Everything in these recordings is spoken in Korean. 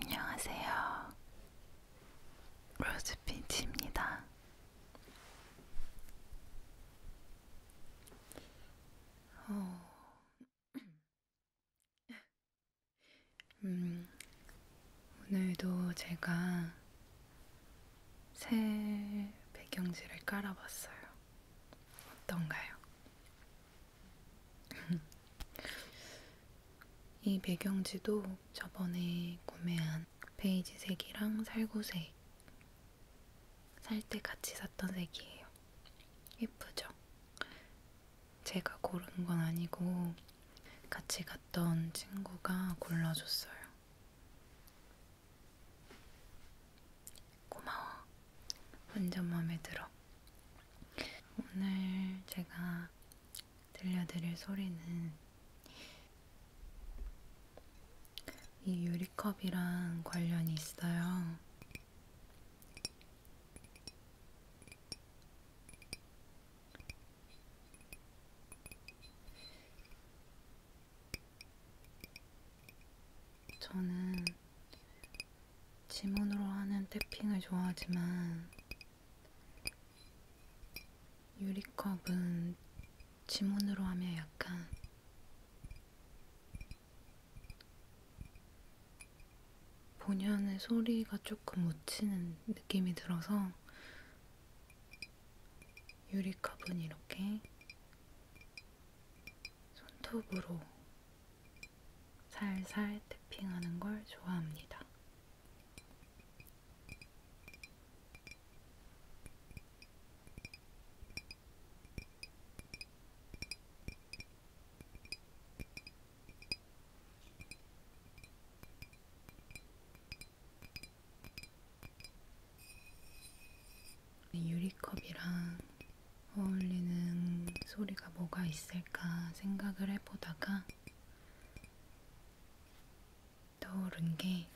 안녕하세요. 로즈핀치입니다. 어... 음, 오늘도 제가 새 배경지를 깔아봤어요. 어떤가요? 이 배경지도 저번에 구매한 베이지 색이랑 살구색 살 때 같이 샀던 색이에요. 예쁘죠? 제가 고른 건 아니고 같이 갔던 친구가 골라줬어요. 고마워. 완전 마음에 들어. 오늘 제가 들려드릴 소리는 이 유리컵이랑 관련이 있어요. 저는 지문으로 하는 태핑을 좋아하지만 유리컵은 지문으로 하면 약간 본연의 소리가 조금 묻히는 느낌이 들어서 유리컵은 이렇게 손톱으로 살살 태핑하는 걸 좋아합니다. 유리컵이랑 어울리는 소리가 뭐가 있을까 생각을 해보다가 떠오른 게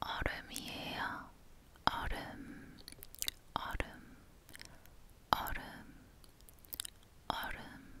얼음이에요. 얼음, 얼음, 얼음, 얼음,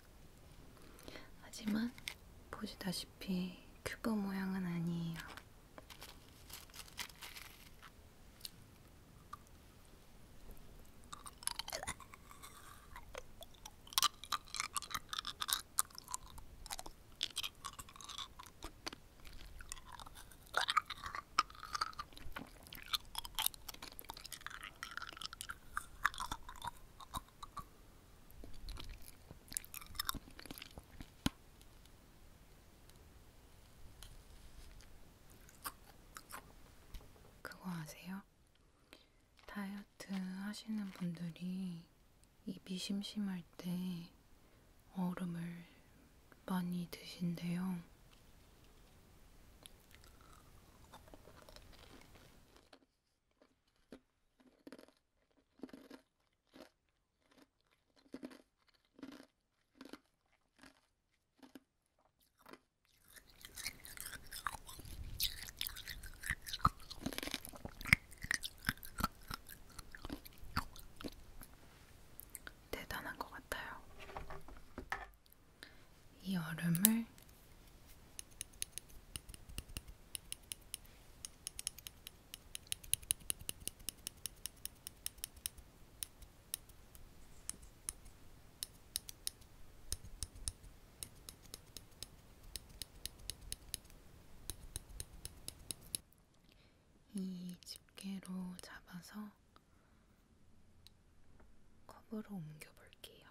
하지만 보시다시피 큐브 모양은 아니에요. 그거 아세요? 다이어트 하시는 분들이 입이 심심할 때 얼음을 많이 드신대요. 대단한 것 같아요. 이 얼음을 이 집게로 잡아서 컵으로 옮겨 볼게요.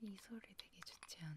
이 소리 되게 좋지 않아요?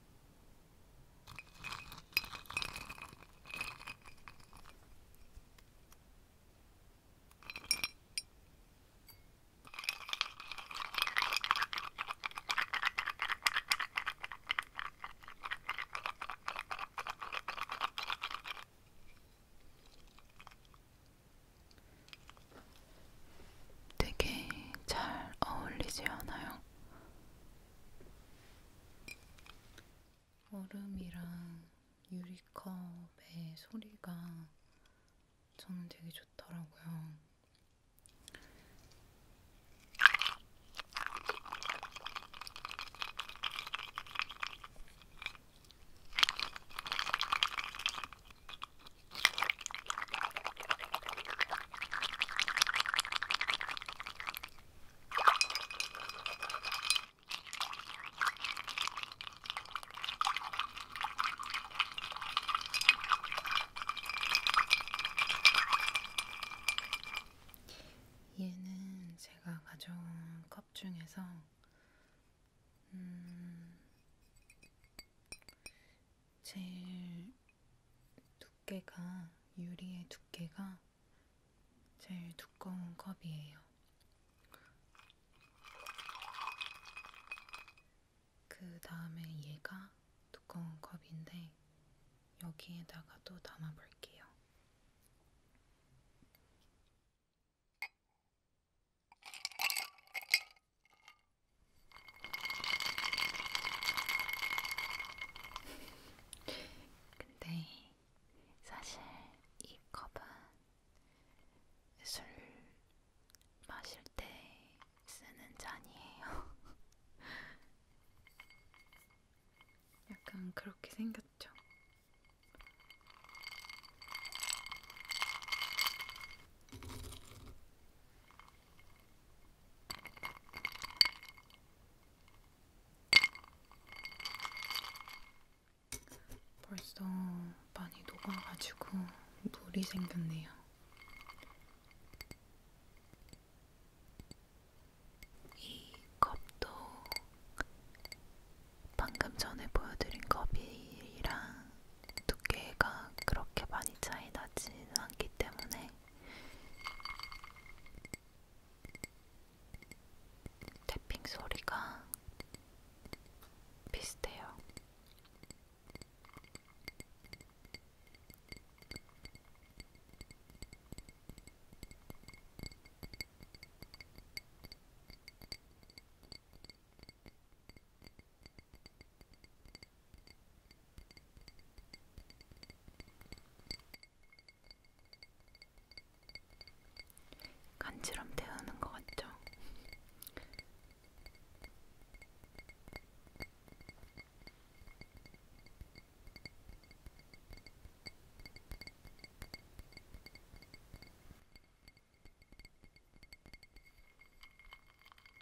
되게 잘 어울리지 않아요? 얼음이랑 유리컵의 소리가 저는 되게 좋더라고요. 얘는 제가 가져온 컵 중에서 음 제일 두께가, 유리의 두께가 제일 두꺼운 컵이에요. 그 다음에 얘가 두꺼운 컵인데, 여기에다가 또 담아볼게요. 근데 사실 이 컵은 술 마실 때 쓰는 잔이에요. 약간 그렇게 생겼죠. 벌써 많이 녹아가지고 물이 생겼네요. 이 컵도 방금 전에 보여드린 컵이랑 두께가 그렇게 많이 차이 나지는 않기 때문에 태핑 소리가 비슷해요. 간지럼 태우는 것 같죠?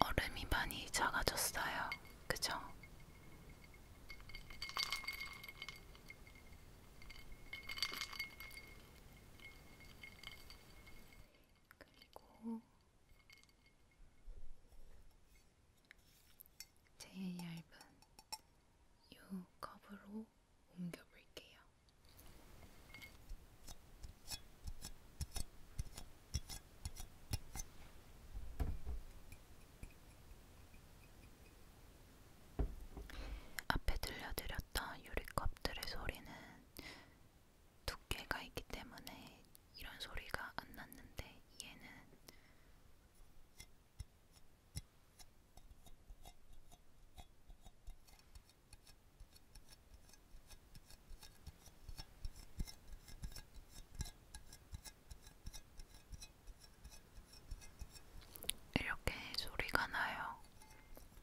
얼음이 많이 작아졌어요. 그죠? 그리고 제일 얇은 이 컵으로 옮겨볼게요. 앞에 들려드렸던 유리컵들의 소리는 두께가 있기 때문에 이런 소리가 안 났는데 얘는 이렇게 소리가 나요.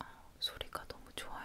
아, 소리가 너무 좋아요.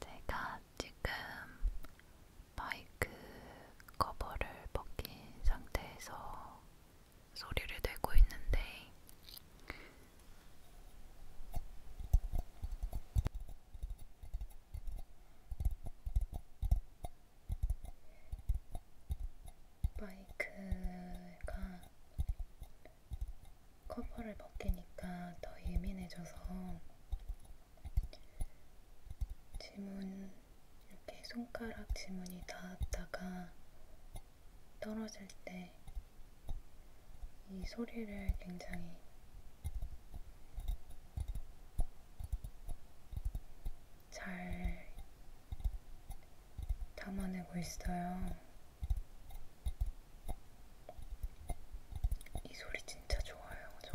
제가 지금 마이크 커버를 벗긴 상태에서 소리를 내고 있는데 마이크가 커버를 벗기니까 더 예민해져서 지문 이렇게 손가락 지문이 닿았다가 떨어질 때 이 소리를 굉장히 잘 담아내고 있어요. 이 소리 진짜 좋아요, 저.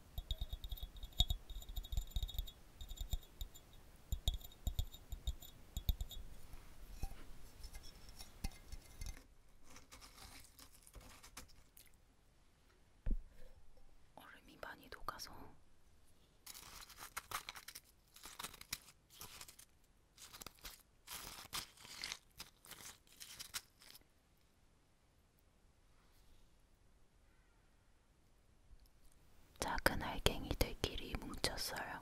얼음이 많이 녹아서 작은 알갱이들끼리 뭉쳤어요.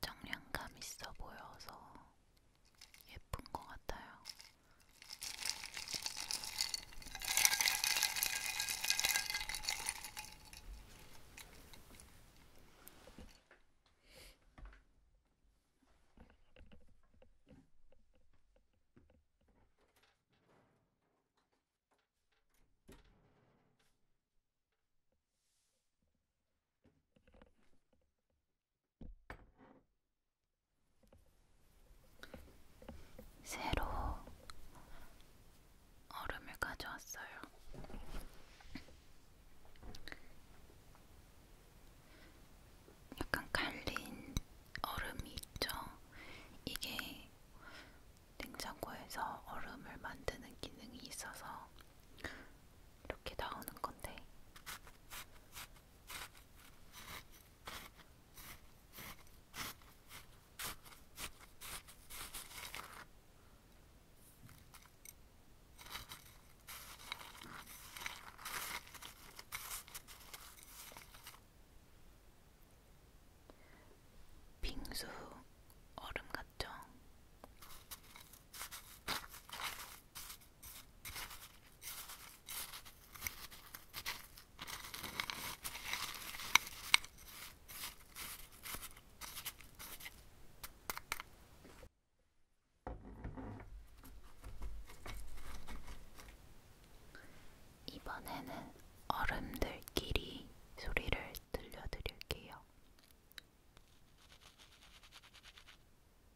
청량감 있어 보여서 예쁜 것 같아요. 새로 얼음을 가져왔어요. 약간 갈린 얼음이 있죠. 이게 냉장고에서 얼음을 만드는 기능이 있어서 이렇게 나오는 건데 빙수 얼음 같죠? 이번에는 얼음들끼리 소리를 들려드릴게요.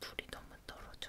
불이 너무 떨어져.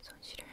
손 시려요.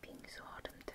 빙수 얼음들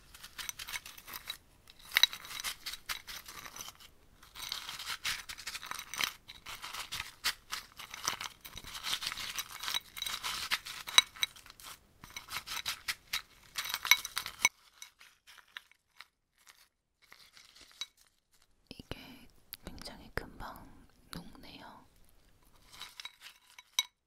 이게 굉장히 금방 녹네요.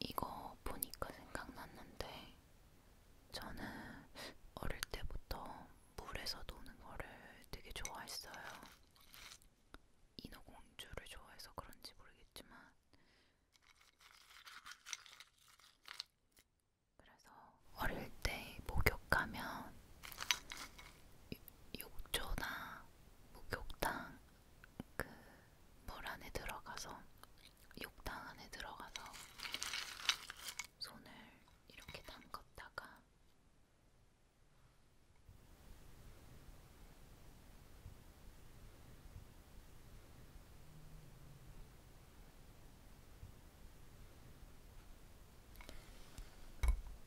이거 보니까 생각났는데 저는 어릴 때부터 물에서 노는 거를 되게 좋아했어요. 인어공주를 좋아해서 그런지 모르겠지만 그래서 어릴 때 목욕하면 욕조나 목욕탕 그물 안에 들어가서 욕탕 안에 들어가서 손을 이렇게 담갔다가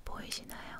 보이시나요?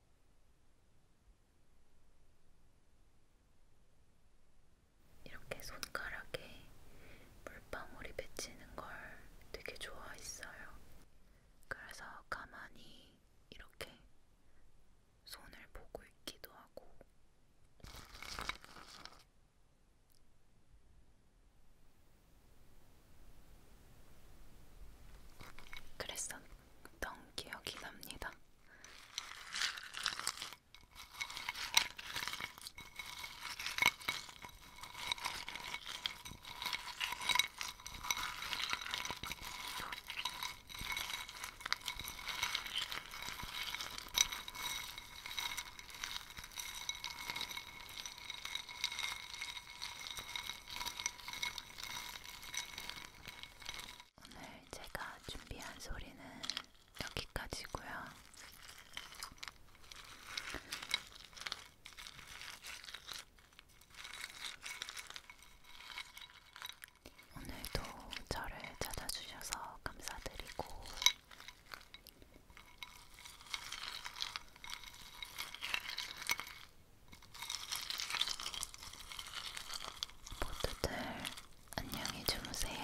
이렇게 손가락에 물방울이 맺히는 걸 되게 좋아했어요. 그래서 가만히 이렇게 손을 보고 있기도 하고, 그랬었는데, 했던 기억이 납니다. 오늘 제가 준비한 소리는 여기까지고요. 오늘도 저를 찾아주셔서 감사드리고 모두들 안녕히 주무세요.